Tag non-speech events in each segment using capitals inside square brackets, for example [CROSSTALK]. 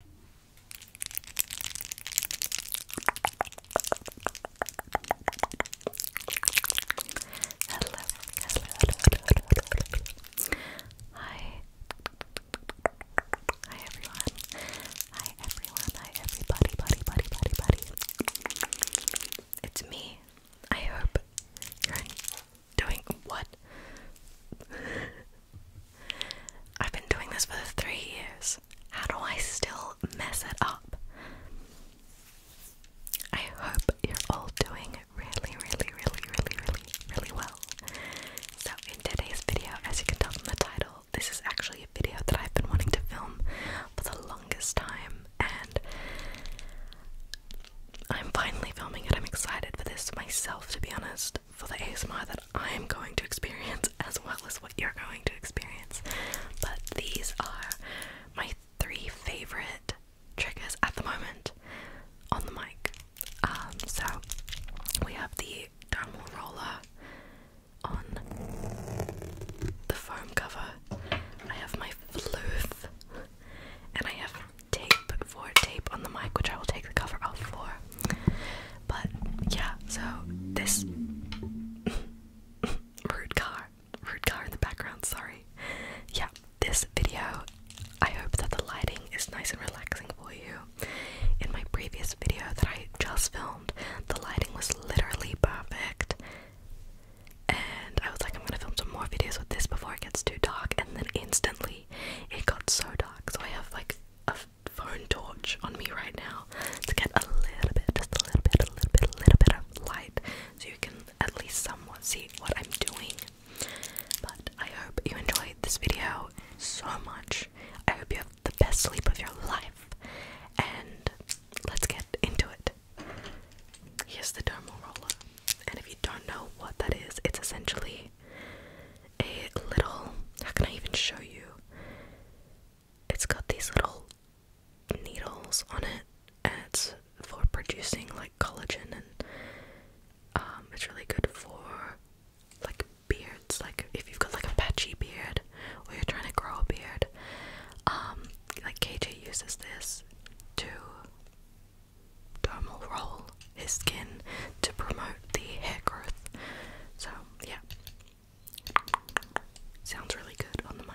Hi. Hi everyone. Hi everyone. Hi everybody, buddy, buddy, buddy, buddy. It's me. I hope you're doing what? [LAUGHS] I've been doing this for three years. How do I still mess it up? I hope you're all doing really, really, really, really, really, really well. So, in today's video, as you can tell from the title, this is actually a video that I've been wanting to film for the longest time, and I'm finally filming it. I'm excited for this myself, to be honest for the ASMR that I am going to experience as well as what you're going to experience. But these are my three favorite triggers at the moment on the mic. Um, so we have the dermal roller on the foam cover. I have my fluth and I have tape for tape on the mic, which I will take the cover off for. But yeah, so this [LAUGHS] rude car, rude car in the background. Sorry. Yeah, this video. I hope that the lighting is nice and relaxing for you. In my previous video that I just filmed, the lighting was literally perfect. And I was like, I'm gonna film some more videos with this before it gets too dark, and then instantly it got so dark. So I have like a phone torch on me right now to get a little bit, just a little bit, a little bit, a little bit of light so you can at least somewhat see what I'm doing. But I hope you enjoyed this video so much. I hope you have the best sleep of your life. And let's get into it. Here's the dermal roller. And if you don't know what that is, it's essentially a little. How can I even show you? It's got these little needles on it, and it's for producing like collagen, and um, it's really good for like beards. Like if you've got like a patchy beard, or you're trying to grow a beard, um, like KJ uses this to dermal roll his skin to promote the hair growth. So, yeah. Sounds really good on the mic.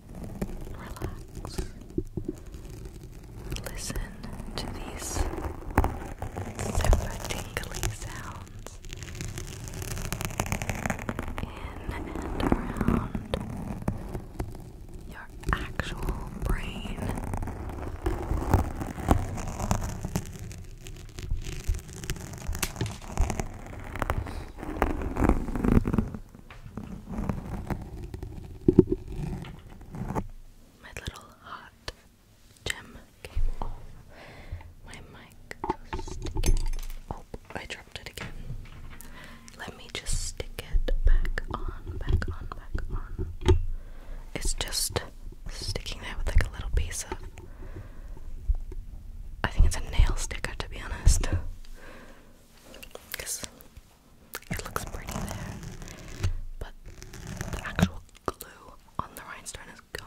relax. Listen to these super tingly sounds in and around your actual brain. My little hot gem came my mic. Oh, I dropped it again. Let me just stick it back on, back on, back on. It's just sticking there with like a little piece of. I think it's a nail sticker to be honest because it looks pretty there, but the actual glue on the rhinestone is gone.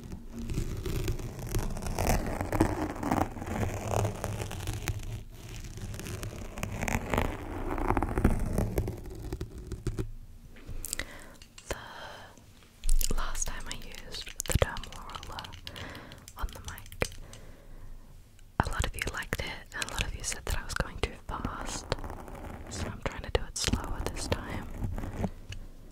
The last time I used the dermal roller on the mic, a lot of you liked it, and a lot of you said that I was going too fast, so I'm trying to do it slower this time.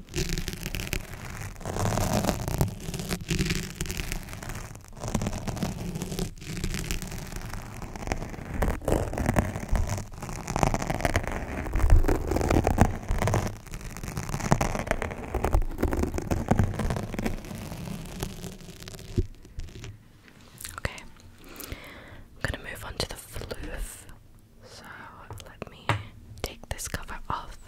Okay, I'm gonna move on to the floof. So let me take this cover off.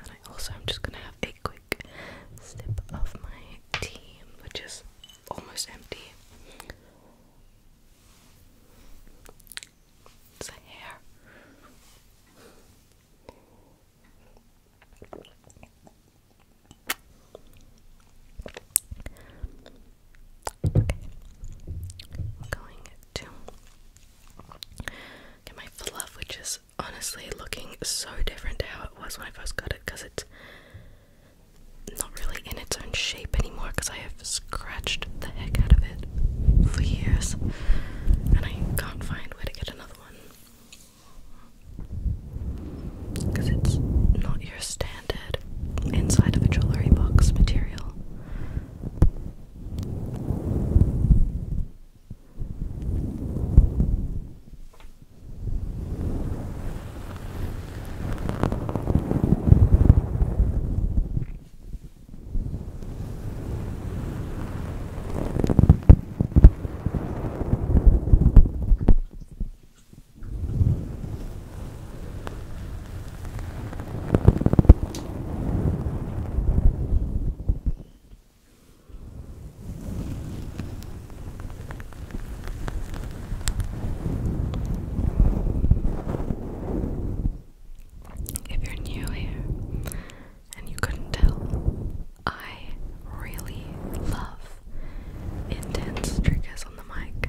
And I am just gonna have a quick sip of my tea, which is almost empty. It's a hair. Okay. going to get my fluff, which is honestly looking so different to how it was when I first got it because it's not really in its own shape anymore because I have scratched the heck out of it for years and I can't find way to get another one because it's not your standard inside of a jewelry box material. If you're new here and you couldn't tell, I really love intense triggers on the mic.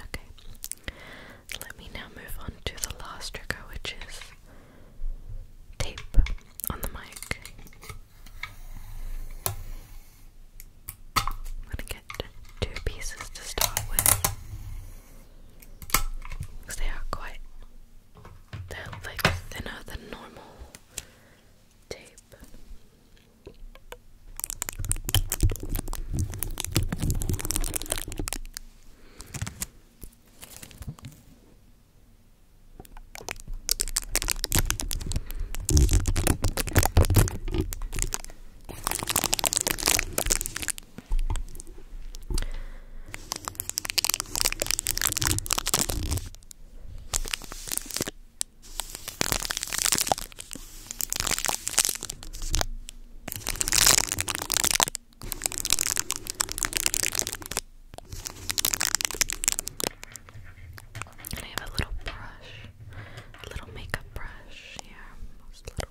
Okay, let me now move on to the last trigger, which is tape on the mic. I'm going two pieces to start with because they are quite they're like thinner than normal tape. And I have a little brush, a little makeup brush here.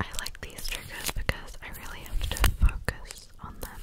I like these triggers because I really have to focus on them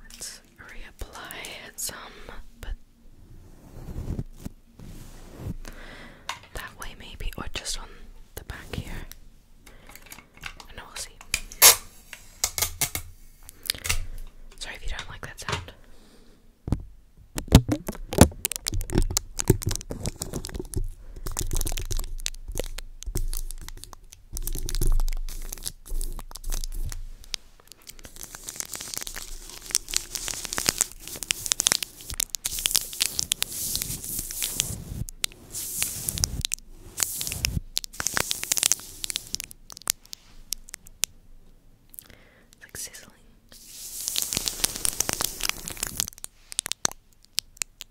Let's reapply some, but that way maybe, or just on the back here. And we'll see. Sorry if you don't like that sound. It's like sizzling.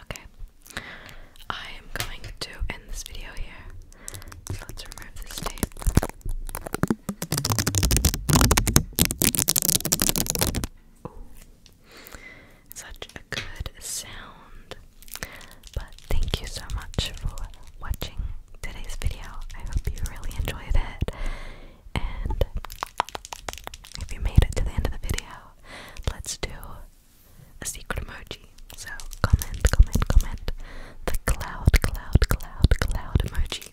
Okay. I am going to end this video here. let's remove this tape. Such a good sound. But thank you so much for watching today's video. I hope you really enjoyed it. And if you made it to the end of the video, let's do a secret emoji. So comment, comment, comment the cloud, cloud, cloud, cloud emoji.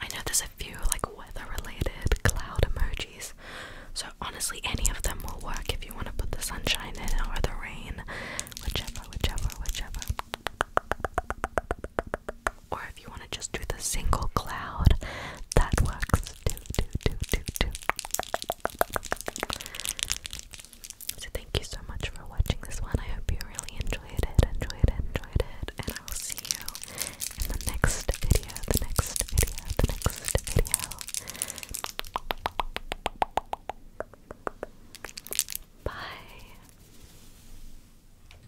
I know there's a few like weather related cloud emojis, so honestly, any of them will work if you want to put the sunshine in or the rain, whichever, whichever, whichever or if you want to just do the single cloud, that works So thank you so much for watching this one. I hope you really enjoyed it, enjoyed it, enjoyed it, and I will see you in the next video, the next video, the next video. Bye.